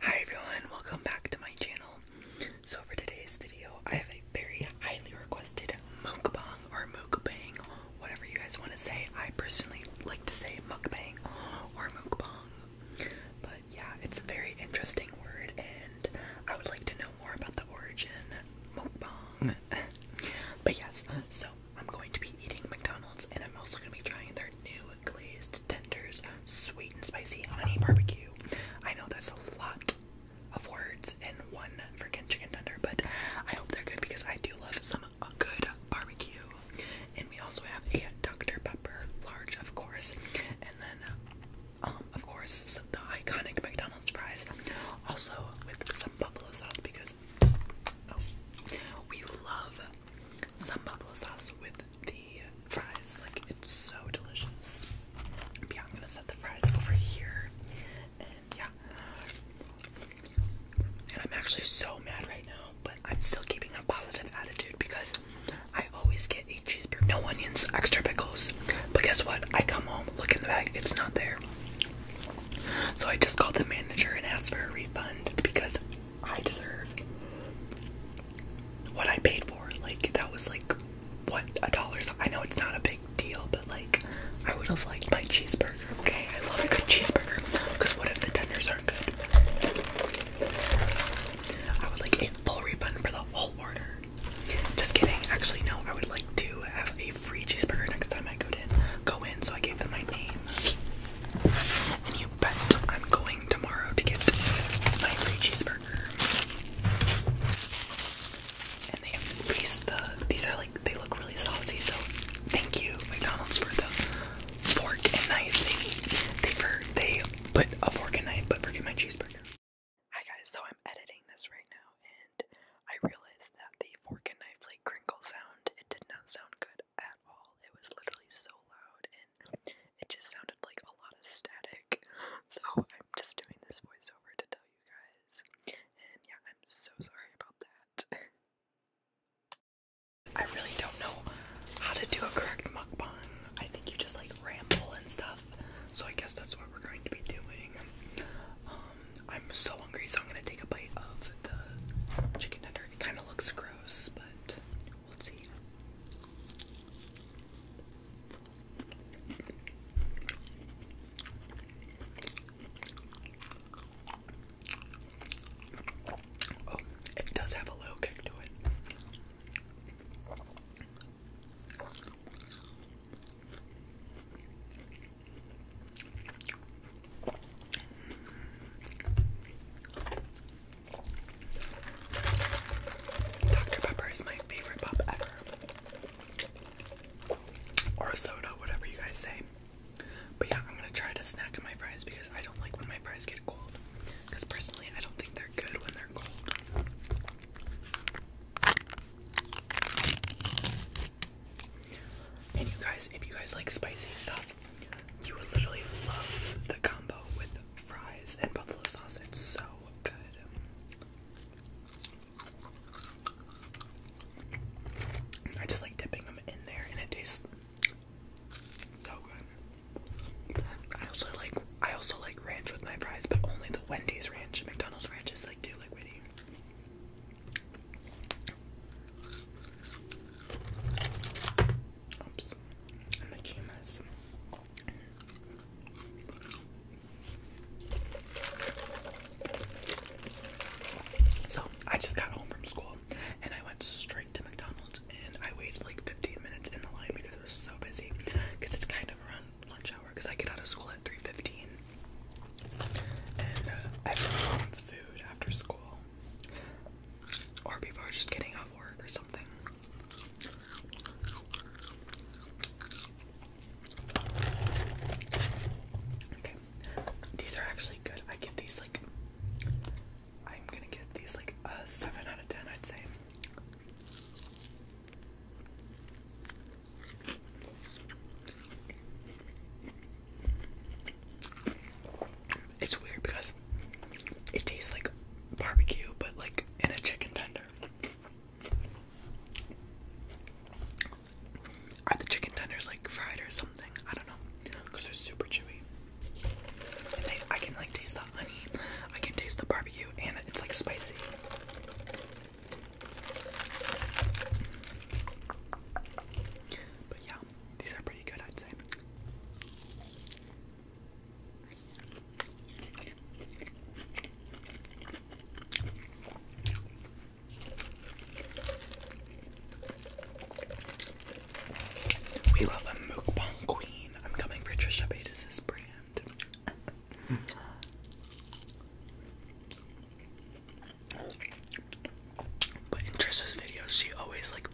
Hi everyone, welcome back to my channel. So for today's video, I have a very highly requested mukbang or mukbang, whatever you guys want to say. I personally like to say mukbang or mukbang. But yeah, it's a very interesting word and I would like to know more about the origin mukbang. Hmm. but yes, so I'm going to be eating McDonald's and I'm also going to be trying their new glazed Tenders Sweet and Spicy Honey Barbecue. I know that's a lot of words in one freaking chicken tender, but I hope they're good because I do love some good barbecue. And we also have a Dr. Pepper large, of course, and then, um, of course, the iconic McDonald's fries, also with some buffalo sauce because oh, we love some buffalo sauce with the fries. Like, it's so delicious. yeah, I'm gonna set the fries over here. And yeah. And I'm actually so mad right now, but I'm still keeping a positive attitude because I always get a cheeseburger, no onions, extra pickles. But guess what? I come home, look in the bag, it's not there. So I just called the manager and asked for a refund because I deserve what I paid for. Like that was like what a dollars. I know it's not a big deal, but like I would have liked my cheeseburger. Okay, I love a good cheeseburger because what if the tenders aren't good? I would like a full refund for the whole order. Just kidding. Actually, no. I would like to have a free cheeseburger next time I go in. Go in. So I gave them my name you bet I'm going tomorrow to get my free cheeseburger. And they have the these are like they look really saucy, so thank you, McDonald's, for the fork and knife they put a fork and knife, but forget my cheeseburger. Hi guys, so I'm editing this right now and I realized that the fork and knife like crinkle sound, it did not sound good at all. It was literally so loud it just sounded like a lot of static. So I'm just doing this voiceover to tell you guys. And yeah, I'm so sorry about that. I really don't know how to do a correct mukbang. I think you just like ramble and stuff. So I guess that's what we're going to be doing. Um, I'm so hungry, so I'm gonna take a bite of the chicken tender. It kind of looks gross, but we'll see. Oh, it does have a little kick to it. Dr. Pepper is my favorite pop ever. Or soda, whatever you guys say. But yeah, I'm gonna try to snack on my fries because I don't like when my fries get cold. Because personally, I don't think they're good when they're cold. And you guys, if you guys like spicy stuff, you would literally love the combo with fries and buffalo sauce. It's so good. I just like dipping them in there and it tastes so good. I also like I also like ranch with my fries, but only the Wendy's ranch. McDonald's ranch is like too liquidy. Oops. I'm making this. So I just got home from school and I went straight to McDonald's and I waited like 15 minutes in the line because it was so busy because it's kind of around lunch hour because I get out of school at 3.15 and uh, everyone wants food after school or people are just getting off work or something Okay. These are actually good. I give these like I'm gonna give these like a seven out of ten I'd say. It's weird because it tastes like barbecue, but like steak and a chicken tender. Are the chicken tenders like fried or something? I don't know. Because they're super chewy. I can like taste the honey, I can taste the barbecue, and it's like spicy. But yeah, these are pretty good, I'd say. We love a mukbang queen. I'm coming for Trisha Paytas' brand. But in Trisha's videos, she always like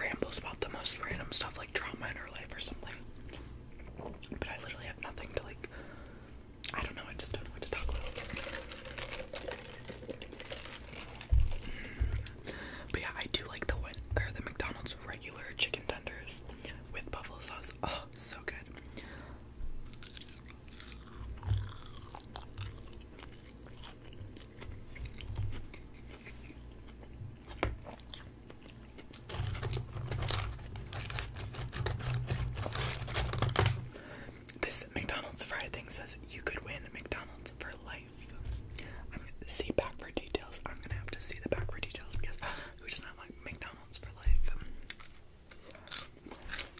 rambles about the most random stuff like drama in her life or something. But I literally have nothing to like. I don't know, I just don't know to talk But yeah, I do like the one or the McDonald's regular chicken tenders with buffalo sauce. Oh, so good. This McDonald's fry thing says you could win a McDonald's for life. I'm gonna see back for details. I'm gonna have to see the back for details because who does not like McDonald's for life?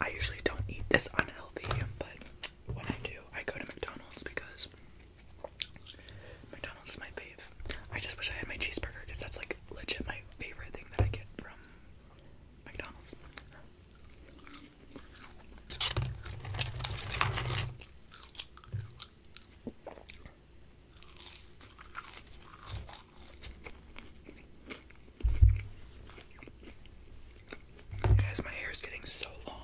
I usually don't eat this unhealthy, but when I do, I go to McDonald's because McDonald's is my fave. I just wish I had my cheeseburger because that's like legit my favorite thing that I get from McDonald's. Guys, my hair is getting so long.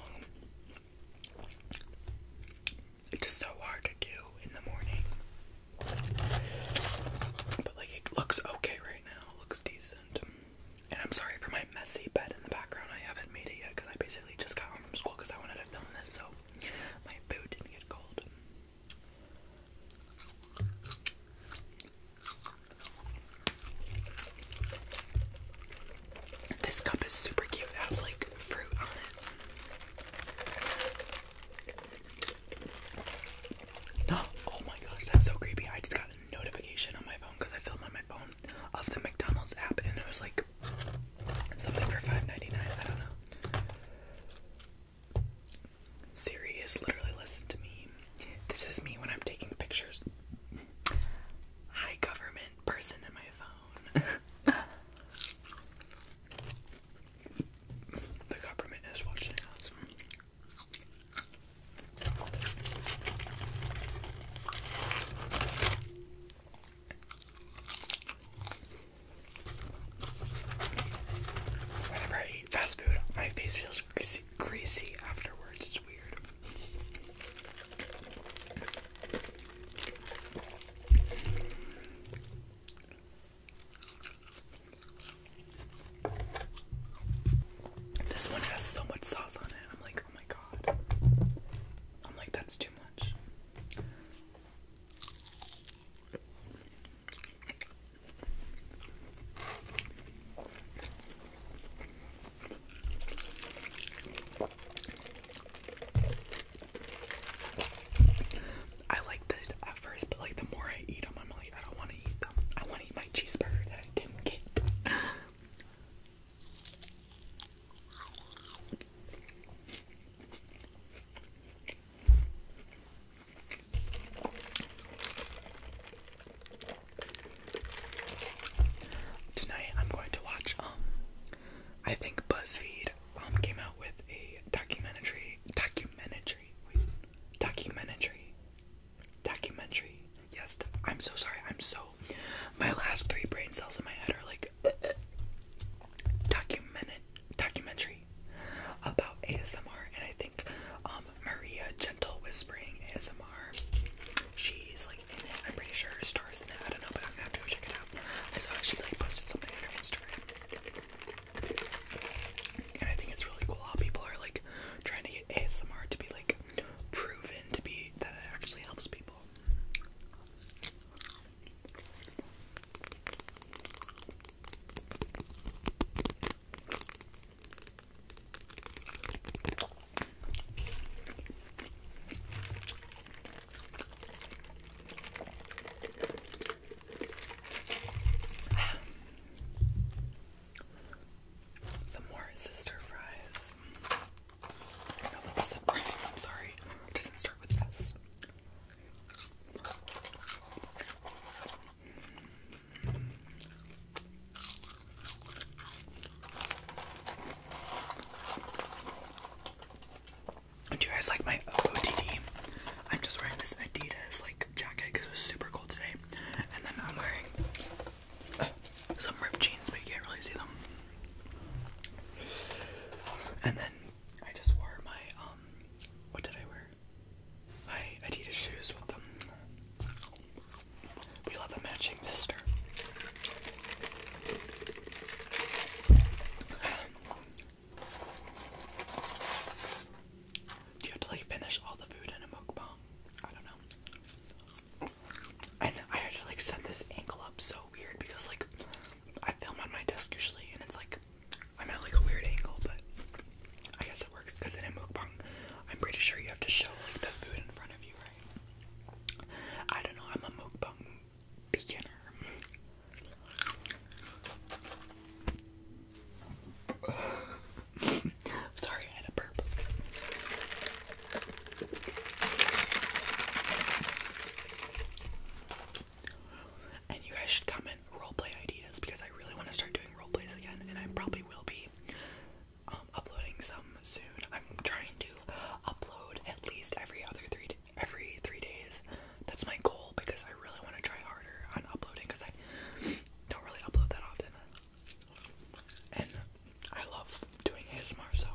It's just so hard to do in the morning. But like it looks okay right now. looks decent. And I'm sorry for my messy bed in the background. I haven't made it yet because I basically just got home from school because I wanted to film this so my food didn't get cold. This cup is super cute. It has like fruit on it. Oh my gosh, that's so creepy. I just got a notification on my phone because I filmed on my phone of the McDonald's app and it was like something for $5.99. I don't know. Siri is literally listen to me. This is me when I'm taking pictures. High government person in my phone. The government is watching us. Whenever I eat fast food, my face feels greasy, greasy afterwards. It's weird. This one has so much sauce on it. I'm like, oh my god. I'm like, that's too much. I like this at first, but like the more I eat them, I'm like, I don't want to eat them. I want to eat my cheeseburger that I didn't get. Tonight I'm going to watch um I think BuzzFeed um came out with a documentary documentary wait, documentary documentary yes I'm so sorry I'm so my last three brain cells in my head are like uh, uh, documentary about ASMR and I think um Maria Gentle Whispering ASMR she's like in it I'm pretty sure stars in it I don't know but I'm gonna have to check it out I saw that she like posted something on her Instagram. And I think it's really cool how people are like trying to get ASMR to be like proven to be that it actually helps people. Some more sister fries. I know that was I'm sorry. doesn't start with S. Do you guys like my OOTD? I'm just wearing this Adidas like jacket because it was super cold today, and then I'm wearing some ripped jeans, but you can't really see them. And then I just wore my um, what did I wear? My Adidas shoes with them. We love a matching sister. Do you have to like finish all the food in a mukbang? I don't know. And I had to like set this ankle up so weird because like I film on my desk usually and it's like I'm at like a weird angle, but I guess it works because in a mukbang, I'm pretty sure you have to show like the food in front of you, right? I don't know. I'm a mukbang beginner. Sorry, I burp. And you guys should comment roleplay ideas because I really want to start doing roleplays again, and I probably will be um, uploading some soon. I'm trying to upload at least every other three every three days. That's my goal because I really want to try harder on uploading because I don't really upload that often. And I love doing ASMR, so.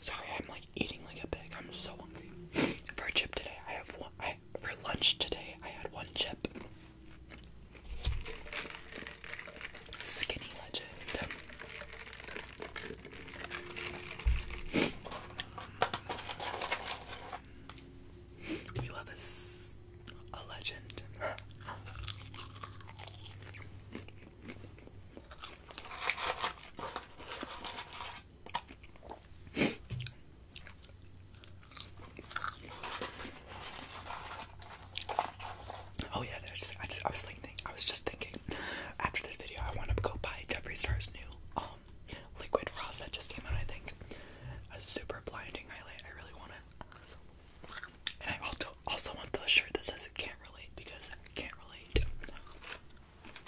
Sorry, I'm like eating like a pig. I'm so hungry. for a chip today, I have one. I, for lunch today, I had one chip. Skinny legend. We love us a legend. oh yeah, I was thinking, I was just thinking. After this video, I want to go buy Jeffree Star's new um liquid frost that just came out. I think a super blinding highlight. I really want it. And I also also want the shirt that says "Can't Relate" because I can't relate.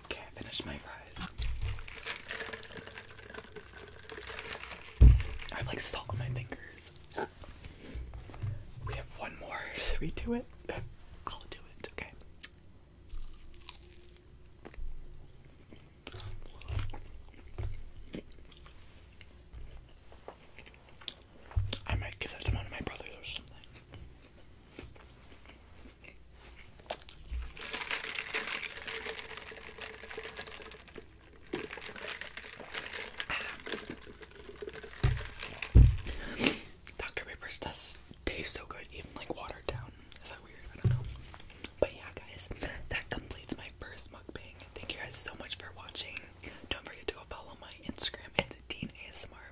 Can't okay, finish my fries. I have like salt on my fingers. We have one more. Should we do it? I'll do it. Okay. I might give that to one of my brothers or something. Ah. Dr. Pepper's does taste so good, even like watered down. Is that weird? I don't know. But yeah, guys, that completes my first mukbang. Thank you guys so much for watching. Don't forget to go follow my Instagram. It's Dean ASMR.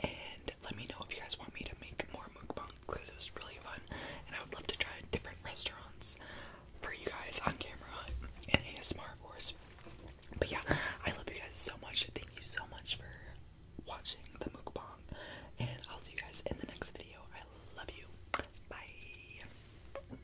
And let me know if you guys want me to make more mukbangs because it was really fun. And I would love to try different restaurants for you guys on camera and ASMR, of course. But yeah, I love you guys so much. Thank you so much for watching the mukbang. And I'll see you guys in the next video. I love you. Bye.